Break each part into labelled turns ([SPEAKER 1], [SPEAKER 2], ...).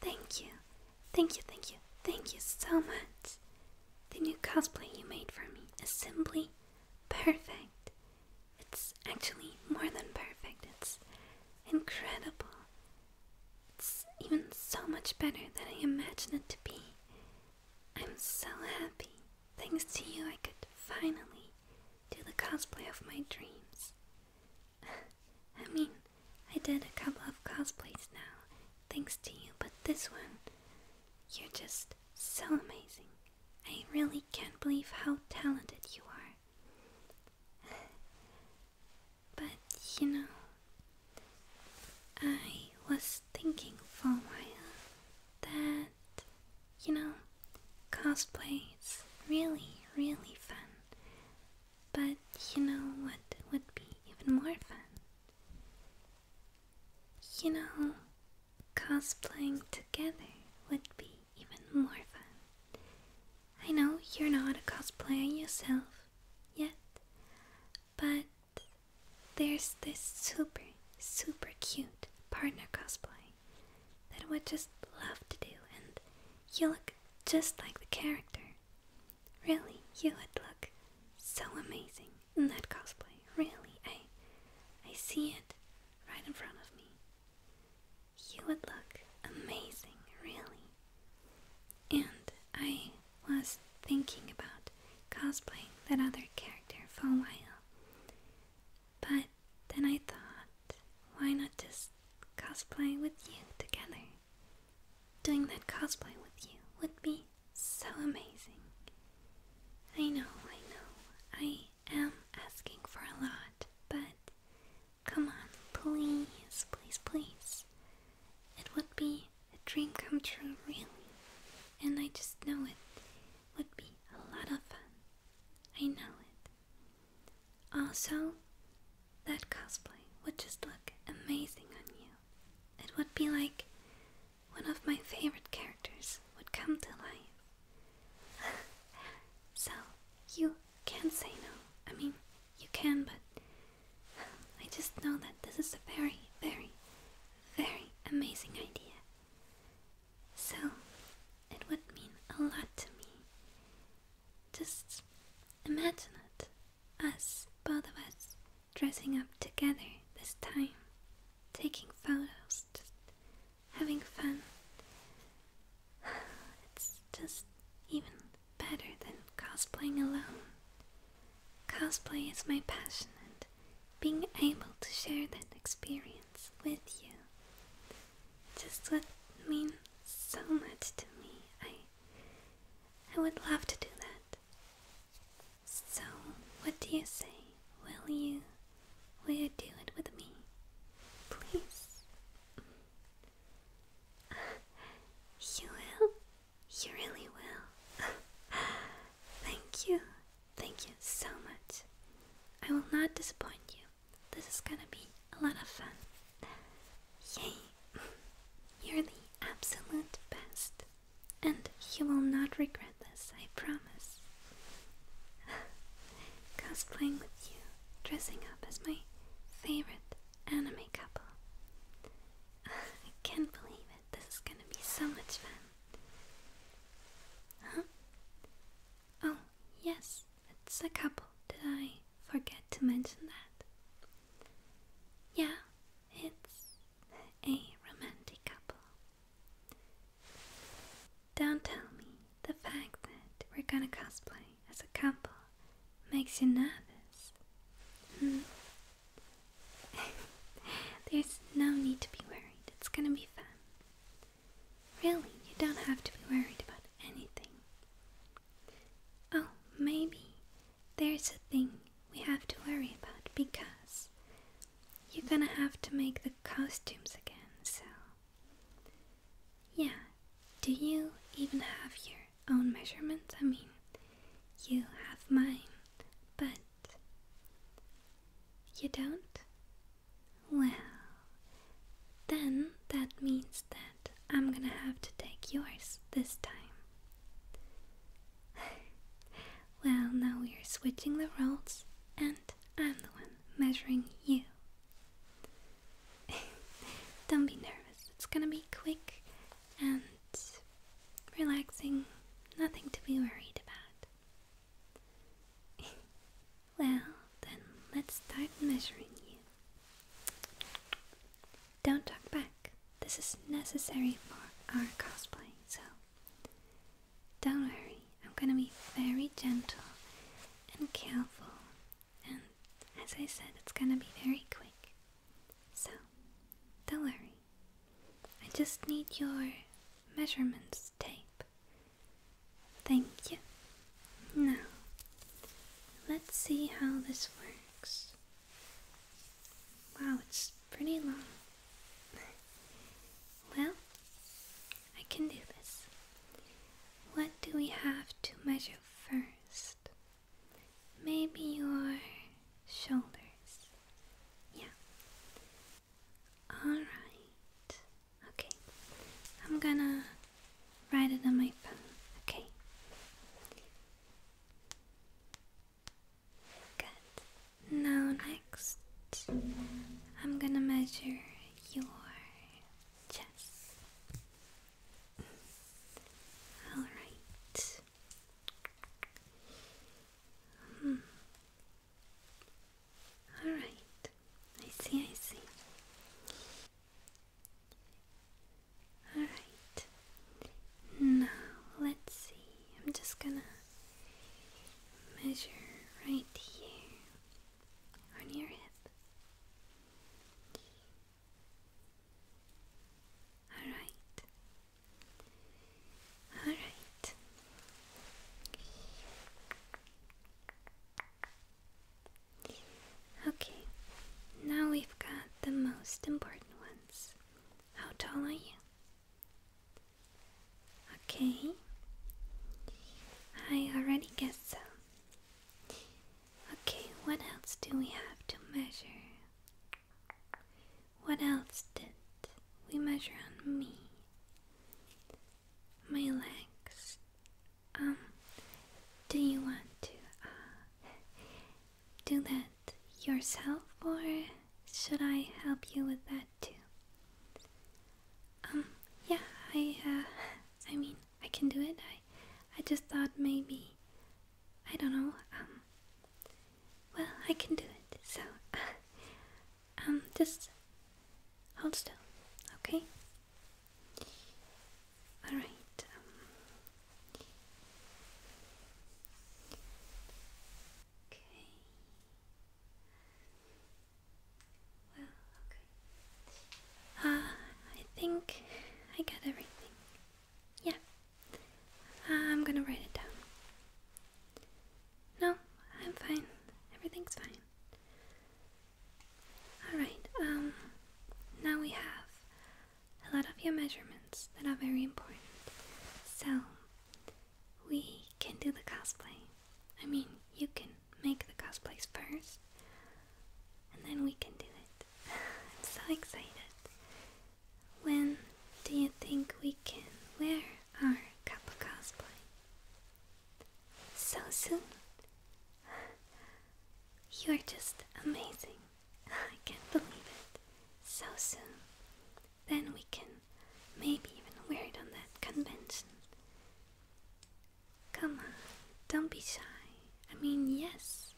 [SPEAKER 1] Thank you, thank you, thank you, thank you so much. The new cosplay you made for me is simply perfect. It's actually more than perfect, it's incredible. It's even so much better than I imagined it to be. I'm so happy. Thanks to you, I could finally do the cosplay of my dreams. I mean, I did a couple of cosplays now, thanks to you, but this one, you're just so amazing. I really can't believe how talented you are. but, you know, I was thinking for a while that, you know, cosplay is really, really fun. But you know what would be even more fun? You know, cosplaying together would be even more fun. I know you're not a cosplayer yourself yet, but there's this super, super cute partner cosplay that I would just love to do, and you look just like the character. Really, you would look so amazing in that cosplay. Really, I I see it right in front of me. You would look amazing, really. And I was thinking about cosplay that other character for a while. But then I thought, why not just just cosplaying with you together. Doing that cosplay with you would be so amazing. I know, I know, I am asking for a lot, but come on, please, please, please. It would be a dream come true, really, and I just know it would be a lot of fun. I know it. Also, that cosplay would just look amazing on you. It would be like one of my favorite characters would come to life. so, you can not say no. I mean, you can, but I just know that this is a very, very, very amazing idea. So, it would mean a lot to me just imagine it us, both of us, dressing up together this time, taking photos, just having fun. It's just even better than cosplaying alone. Cosplay is my passion, and being able to share that experience with you just would mean so much to me. I I would love to do that. So what do you say? Will you will you do it with me? Please. You will? You really will. Thank you. Thank you so much. I will not disappoint you. This is gonna be a lot of fun. Yay! You're the absolute best. And you will not regret this, I promise. Cosplaying with you, dressing up as my favorite anime couple. I can't believe it. This is gonna be so much fun. Oh, yes, it's a couple. Did I? forget to mention that. Yeah, it's a romantic couple. Don't tell me the fact that we're gonna cosplay as a couple makes you nervous. Hmm. There's no need to be worried, it's gonna be fun. Really, you don't have to be worried about anything. Oh, maybe there's a thing we have to worry about because you're gonna have to make the costumes again, so. Yeah, do you even have your own measurements? I mean, you have mine, but you don't? Well, then that means that I'm gonna have to take yours this time. well, now we're switching the roles, and I'm the one measuring you. Don't be nervous, it's gonna be quick and relaxing, nothing to be worried about. Well, then let's start measuring you. Don't talk back. This is necessary for our cosplay, so don't worry. I'm gonna be very gentle and careful, and as I said, it's gonna be very quick. So don't worry. I just need your measurements tape. Thank you. Now, let's see how this works. Wow, it's pretty long. well, I can do this. What do we have to measure first? Maybe your shoulders. Yeah. Alright. Okay, I'm gonna write it on my phone. Okay, good. Now, next, I'm gonna measure your chest. All right. Hmm. Alright, I see, I see. Alright, now let's see. I'm just gonna measure right here on your hip. Alright, alright. Okay, now we've got the most important ones. How tall are you? Okay, I already guessed so. Okay, what else do we have to measure? What else did we measure on me? My legs. Um, do you want to uh, do that yourself, or should I help you with that too? Um, yeah, I, uh, I mean, I can do it. I, I just thought maybe, I don't know, um, well, I can do it, so, Um, just hold still, okay? Alright. Um. Okay. Well, okay. Uh, I think I got everything. Yeah. I'm gonna write it down. No, I'm fine. Everything's fine. Alright, um, now we have a lot of your measurements that are very important. So, we can do the cosplay. I mean, you can make the cosplay first, and then we can do it. I'm so excited. When do you think we can wear our Kappa cosplay? So soon? You're just amazing. I can't believe it. So soon. Then we can maybe even wear it on that convention. Come on, don't be shy. I mean, yes,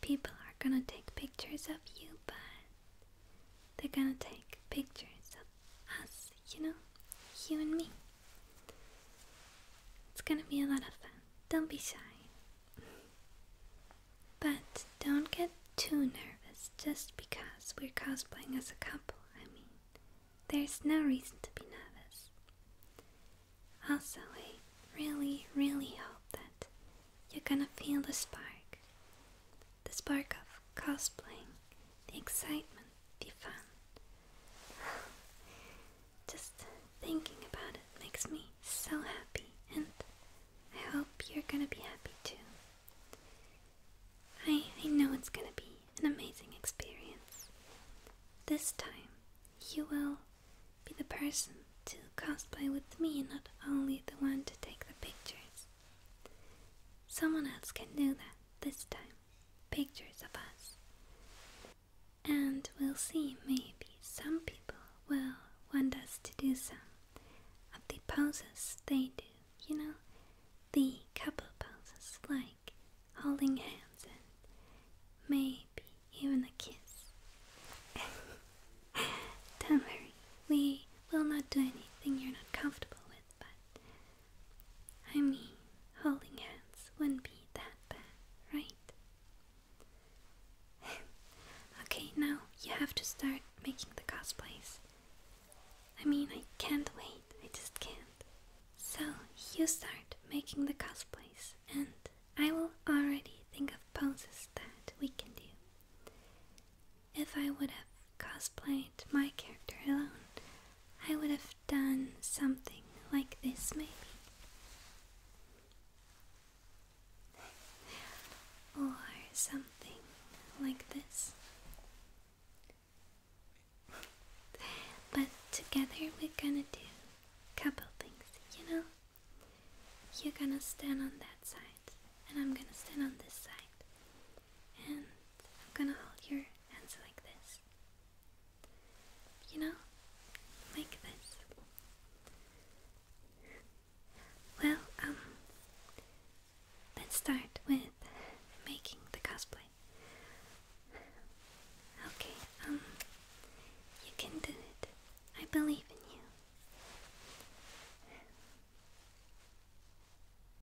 [SPEAKER 1] people are gonna take pictures of you, but they're gonna take pictures of us, you know? You and me. It's gonna be a lot of fun. Don't be shy. But don't get too nervous just because we're cosplaying as a couple. I mean, there's no reason to be nervous. Also, I really, really hope that you're gonna feel the spark the spark of cosplaying, the excitement be fun. Just thinking about it makes me so happy, and I hope you're gonna be happy too. I, I know it's gonna be an amazing experience. This time, you will be the person to cosplay with me, not only the one to take the pictures. Someone else can do that this time pictures of us. And we'll see, maybe some people will want us to do some of the poses they do, you know, the couple poses like holding hands and maybe even a kiss. Don't worry, we will not do anything you're not comfortable with, but I mean, holding hands wouldn't be that bad, right? okay, now you have to start making the cosplays. I mean, I can't wait, I just can't. So, you start making the cosplays, and I will already think of poses that we can do. If I would have cosplayed my character alone, I would have done something like this, maybe. Or something like this. But together we're gonna do a couple things, you know? You're gonna stand on that side, and I'm gonna stand on this side. And I'm gonna hold your hands like this. You know, like this. Well, um, let's start with making the cosplay. Okay, um, you can do it. I believe in you.